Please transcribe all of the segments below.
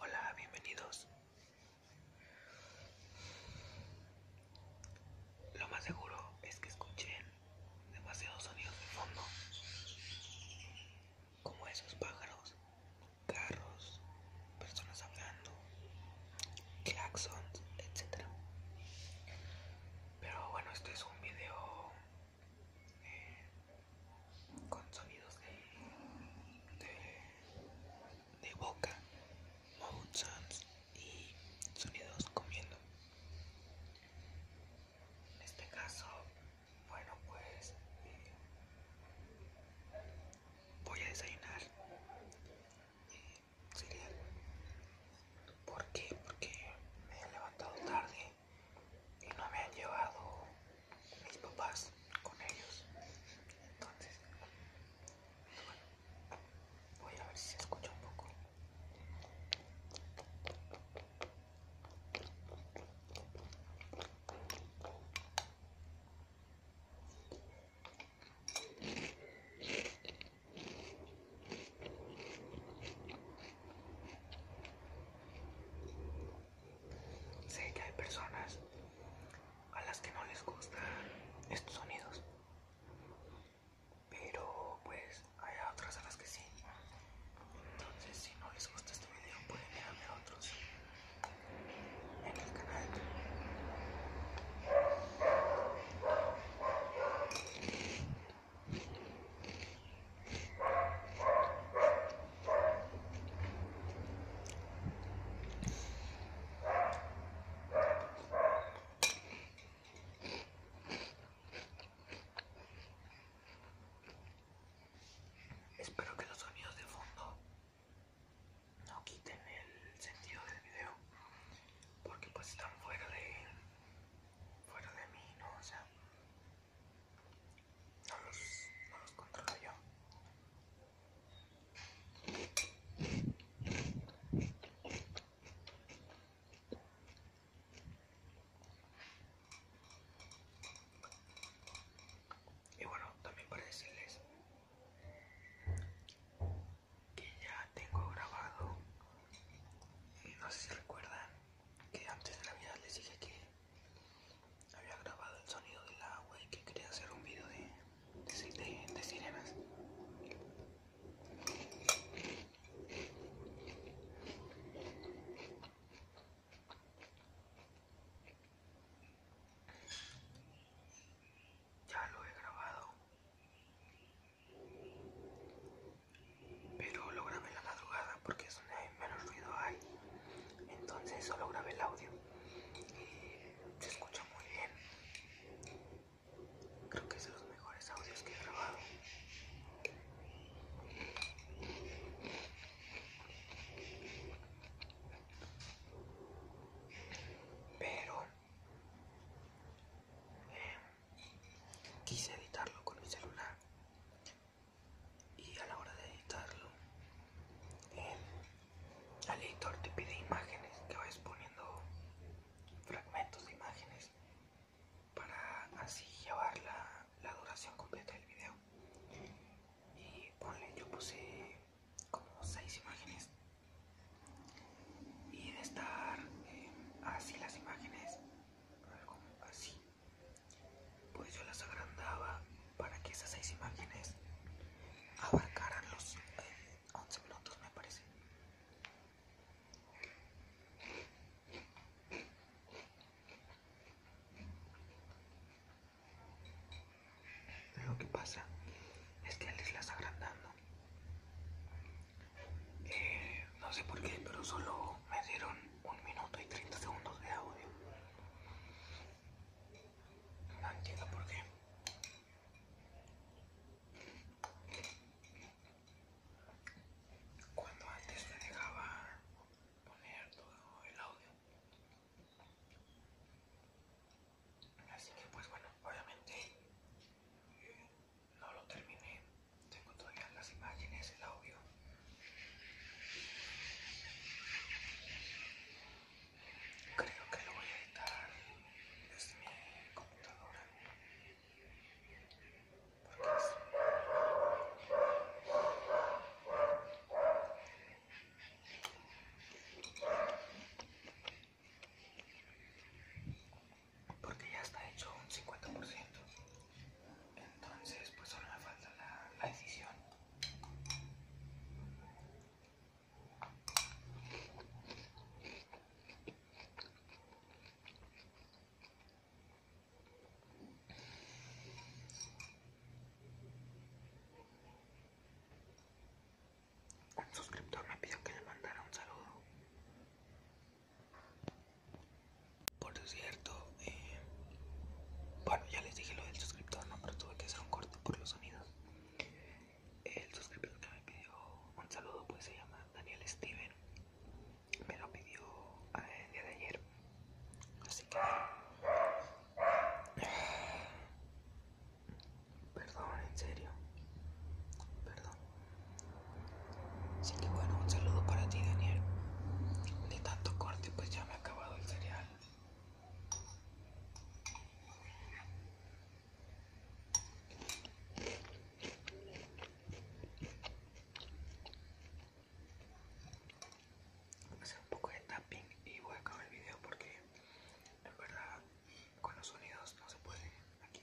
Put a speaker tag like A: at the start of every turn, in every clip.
A: Hola, bienvenidos. Lo más seguro es que escuchen demasiados sonidos de fondo, como esos pájaros, carros, personas hablando, claxons, etc. Pero bueno, esto es un video eh, con sonidos de, de, boca, mouth sounds y sonidos comiendo. En este caso, bueno, pues eh, voy a desayunar. Eh, porque Porque me he levantado tarde y no me han llevado mis papás con ellos. Entonces, bueno, voy a ver si se escucha un poco. Sé que hay personas a las que no les gustan estos sonidos, pero pues hay otras a las que sí. Entonces, si no les gusta este video, pueden dejarme a otros en el canal. Espero que los sonidos de fondo no quiten el sentido del video porque pues están fuera de fuera de mí, ¿no? O sea, no los, no los controlo yo. Y bueno, también para decirles que ya tengo grabado. No sé si recuerdan que antes de la vida les dije que había grabado el sonido del agua y que quería hacer un video de, sirenas. Ya lo he grabado pero lo grabé en la madrugada porque es donde menos ruido hay. Entonces solo grabé el audio. Y se escucha muy bien. Creo que es de los mejores audios que he grabado. Pero... Eh, quise editarlo con mi celular y a la hora de editarlo el al editor te pide imágenes que vayas poniendo fragmentos de imágenes para así llevar la, la duración completa del video y ponle yo puse como seis imágenes y de estar eh, así las imágenes, algo así, pues yo las agrandaba para que esas seis imágenes abarcaran los 11 eh, minutos, me parece. Lo que pasa es que al irlas agrandando eh, no sé por qué, pero solo me dieron un minuto y 30 segundos de audio. No entiendo por qué. Cuando antes me dejaba poner todo el audio. Así que pues bueno, obviamente no lo terminé. Tengo todavía las imágenes, el audio. Creo que lo voy a editar desde mi computadora porque ya está hecho un 50% entonces pues solo me falta la, decisión. un suscriptor me pidió que le mandara un saludo por cierto, eh, bueno, ya les dije lo del suscriptor, no, pero tuve que hacer un corte por los sonidos. El suscriptor que me pidió un saludo, pues se llama Daniel Steven. Me lo pidió eh, el día de ayer. Así que... Perdón, en serio. Perdón. Así que bueno, un saludo para ti, Daniel. De tanto corte, pues ya me ha acabado el cereal. Voy a hacer un poco de tapping y voy a acabar el video porque la verdad con los sonidos no se puede aquí.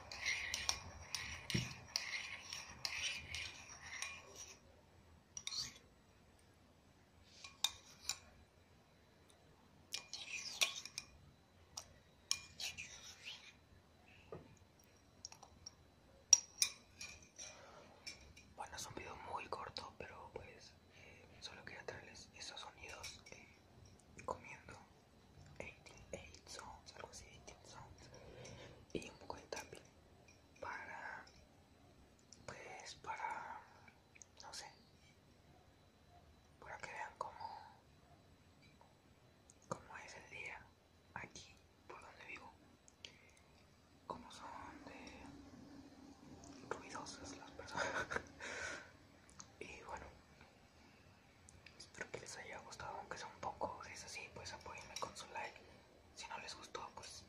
A: Bueno, es un muy corto, pero pues eh, solo quería traerles esos sonidos eh, comiendo. 18 Sounds, algo así, 18 Sounds, y un poco de tapping para, pues, para, no sé, para que vean cómo, cómo es el día aquí, por donde vivo, cómo son de ruidosas las personas. Y bueno, Espero que les haya gustado, aunque sea un poco. es así, pues apoyenme con su like. Si no les gustó, pues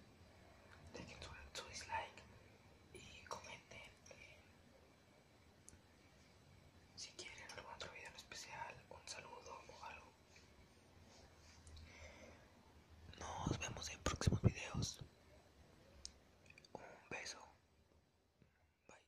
A: dejen su, dislike y comenten si quieren algún otro video en especial, un saludo o algo. Nos vemos en próximos videos. Un beso. Bye